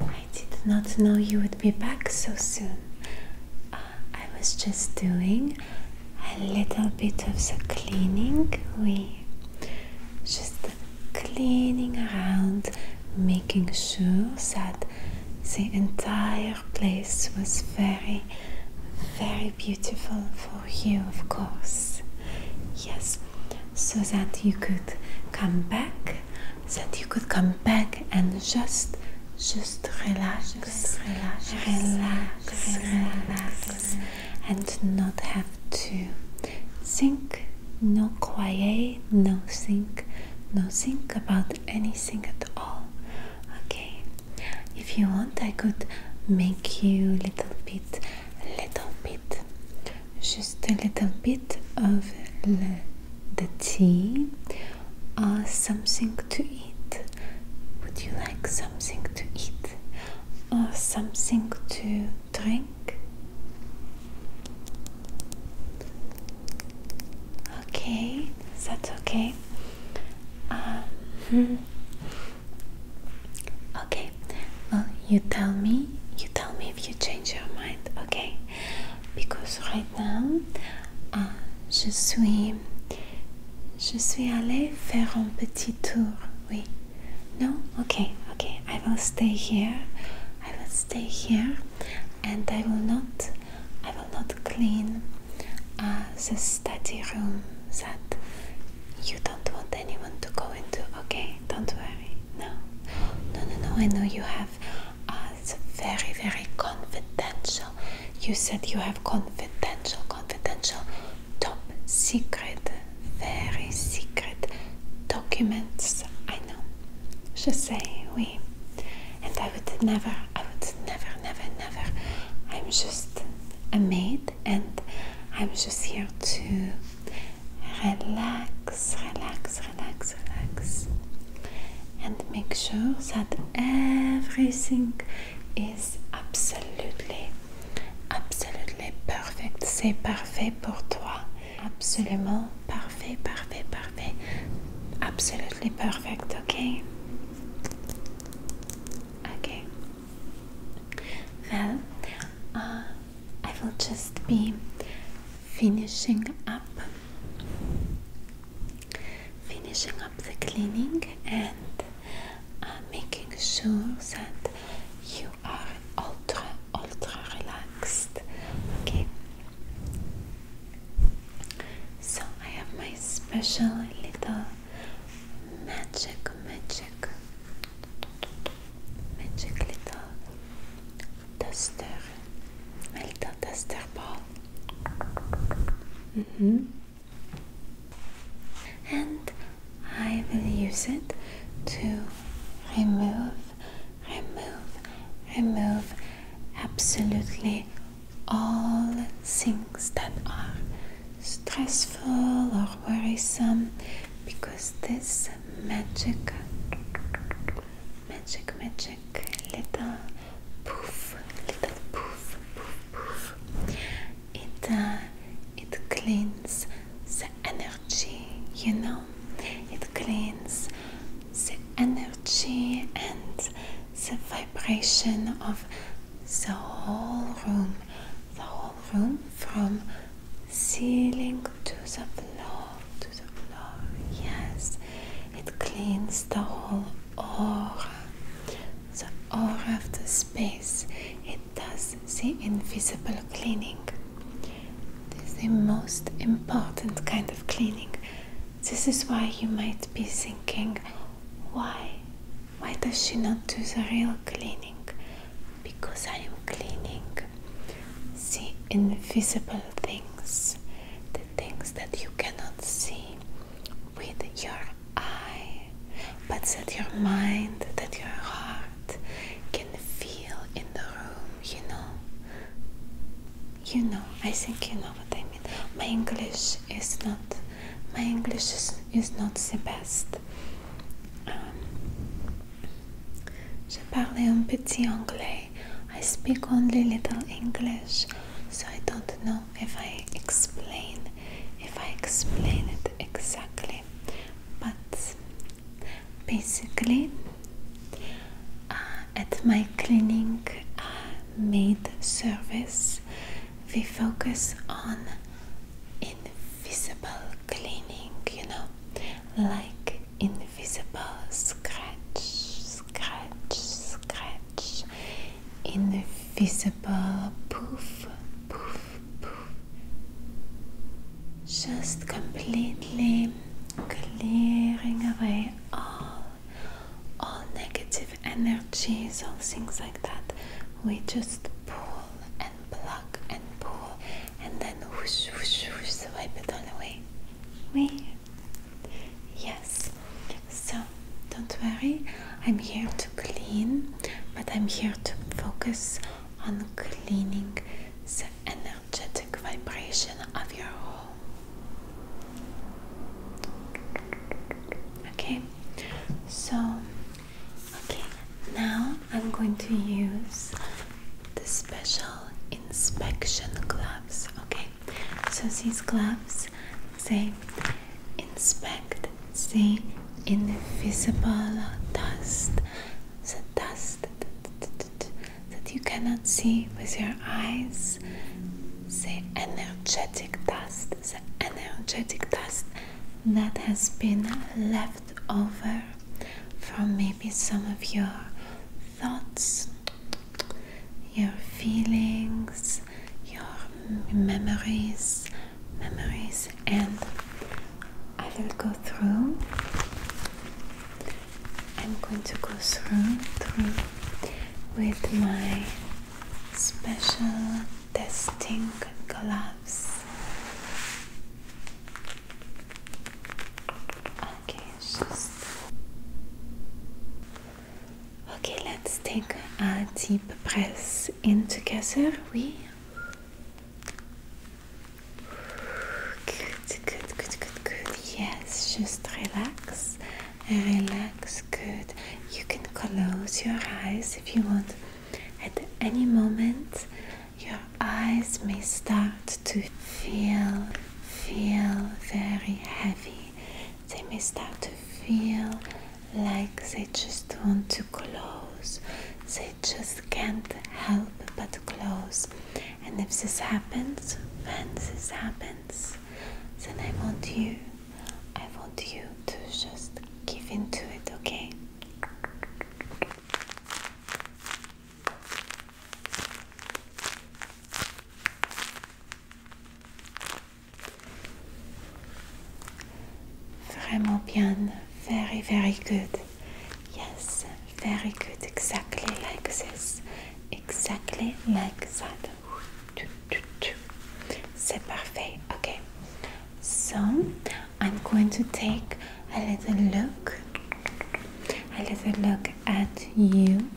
I did not know you would be back so soon. I was just doing a little bit of the cleaning. We just cleaning around, making sure that the entire place was very, very beautiful for you, of course. Yes, so that you could come back, that you could come back and just just relax, relax, relax, relax, and not have to think, no quiet, no think, no think about anything at all. Okay, if you want, I could make you a little bit, little bit, just a little bit of the tea or something to eat eat? Would you like something to eat or something to drink? Okay, that's okay. Um, okay, well, you tell me. You tell me if you change your mind, okay? Because right now, uh, je suis Je suis allée faire un petit tour. Oui. No? Okay, okay. I will stay here. I will stay here and I will not I will not clean uh, the study room that you don't want anyone to go into. Okay, don't worry. No. No no no I know you have uh, very very confidential. You said you have confidential confidential, top secret, very secret documents. I know. Je say we. And I would never, I would never, never, never. I'm just a maid and I'm just here to relax, relax, relax, relax, and make sure that everything is absolutely, absolutely perfect. C'est parfait pour toi. Absolument parfait, parfait, parfait. Absolutely perfect, okay? Okay. Well, uh, I will just be finishing up finishing up the cleaning and I'm making sure that you are ultra, ultra relaxed. Okay? So I have my special little magic, magic, magic little duster, my little duster ball. Mm-hmm and I will use it to remove, remove, remove absolutely all things that are stressful or worrisome because this magic, magic, magic little poof, little poof, poof, poof. It uh, it cleans the energy, you know. It cleans the energy and the vibration of the whole room, the whole room from ceiling the floor, to the floor. Yes, it cleans the whole aura, the aura of the space. It does the invisible cleaning. This is the most important kind of cleaning. This is why you might be thinking, why? Why does she not do the real cleaning? Because I am cleaning the invisible things, the things that you cannot see with your eye, but that your mind, that your heart can feel in the room, you know. You know, I think you know what I mean. My English is not my English is, not the best. Um, je parle un petit anglais. I speak only little English, so I don't know if I explain if I explain it exactly but basically uh, at my cleaning uh, maid service we focus on invisible cleaning you know like invisible scratch scratch scratch, invisible poof, poof, poof. Just completely clearing away all, all negative energies, all things like that. We just pull and plug and pull and then whoosh, whoosh, whoosh, wipe it all away. We, yes, so don't worry, I'm here to clean, but I'm here to focus on cleaning the energetic vibration of your home. Okay, so okay, now I'm going to use the special inspection gloves. Okay, so these gloves words say inspect the invisible dust the dust that you cannot see with your eyes the energetic dust the energetic dust that has been left over from maybe some of your thoughts your feelings your memories, memories, and I will go through. I'm going to go through, through with my special testing gloves. Okay, just Okay, let's take a deep breath in together. We. Good, good, good, good, good. Yes, just relax. Relax, good. You can close your eyes if you want. At any moment, your eyes may start to feel, feel very heavy. They may start to feel like they just want to close, they just can't help but close. And if this happens, when this happens, then I want you, I want you to just give in to it, okay? Vraiment bien. Very, very good. Yes, very good. Exactly like this. Exactly like that. C'est parfait. Okay. So, I'm going to take a little look. A little look at you.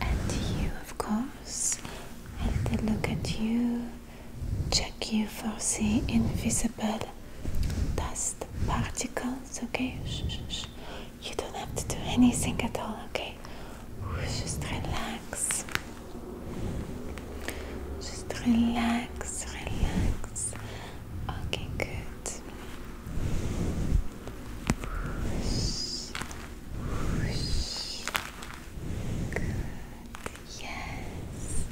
At you, of course house and they look at you, check you for the invisible dust particles, okay? You don't have to do anything at all, okay? Just relax. Just relax, relax. Okay, good. Whoosh, whoosh, Yes.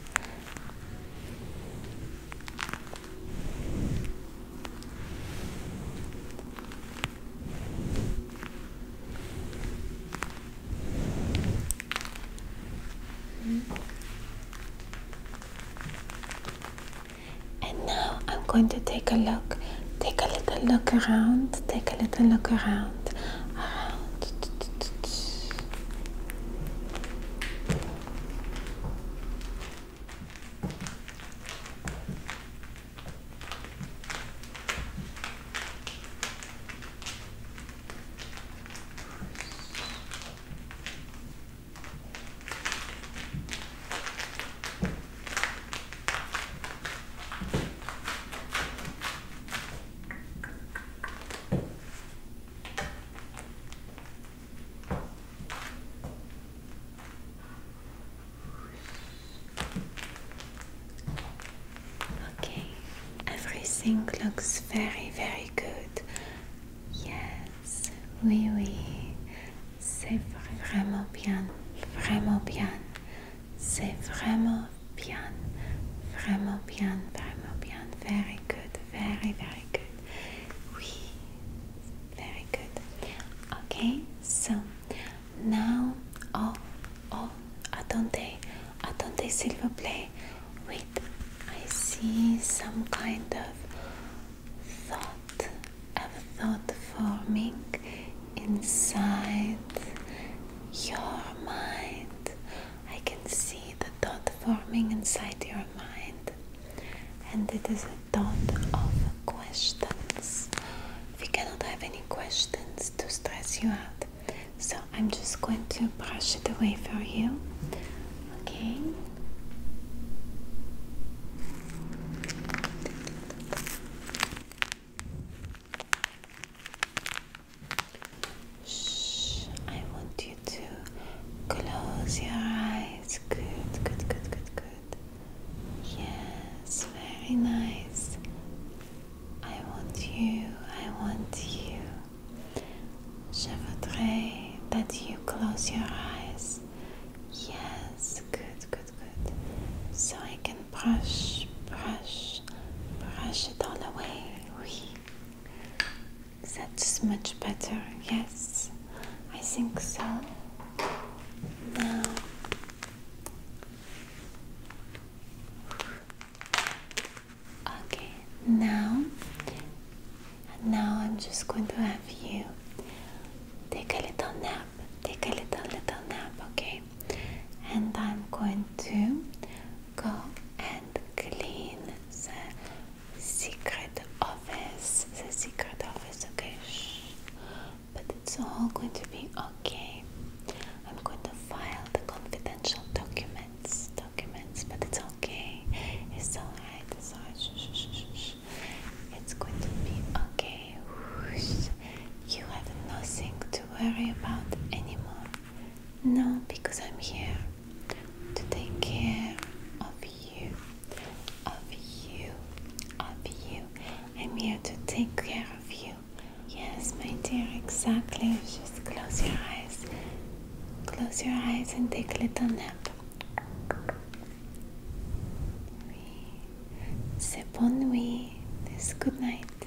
And now I'm going to take a look Take a little look around. Take a little look around. Okay, everything looks very, very good. Yes, oui, oui, c'est vraiment bien, vraiment bien. C'est vraiment bien, vraiment bien, vraiment bien. Very good, very, very good. Oui, very good. Okay, so now, oh, oh, attendez, attendez s'il vous plaît. Wait, I see some kind of thought, of thought forming inside your mind. I can see the thought forming inside your mind, and it is a thought of questions. We cannot have any questions to stress you out, so I'm just going to brush it away for you. Okay. Shh, I want you to close your eyes. Good, good, good, good, good. Yes, very nice. I want you, I want you. Je voudrais that you close your eyes. Yes, good, good, good. So I can brush, brush, brush it all away. Oui. That's much better. Yes, I think so. Now, okay. Now, now I'm just going to have you take a little nap. Take a little little nap. Okay and I'm going to go and clean the secret office the secret office okay but it's all going to be okay I'm going to file the confidential documents documents but it's okay it's alright it's shush. it's going to be okay you have nothing to worry about anymore. No, because I'm here to take care of you, of you, of you. I'm here to take care of you. Yes, my dear, exactly. Just close your eyes. Close your eyes and take a little nap. Oui. C'est This good night.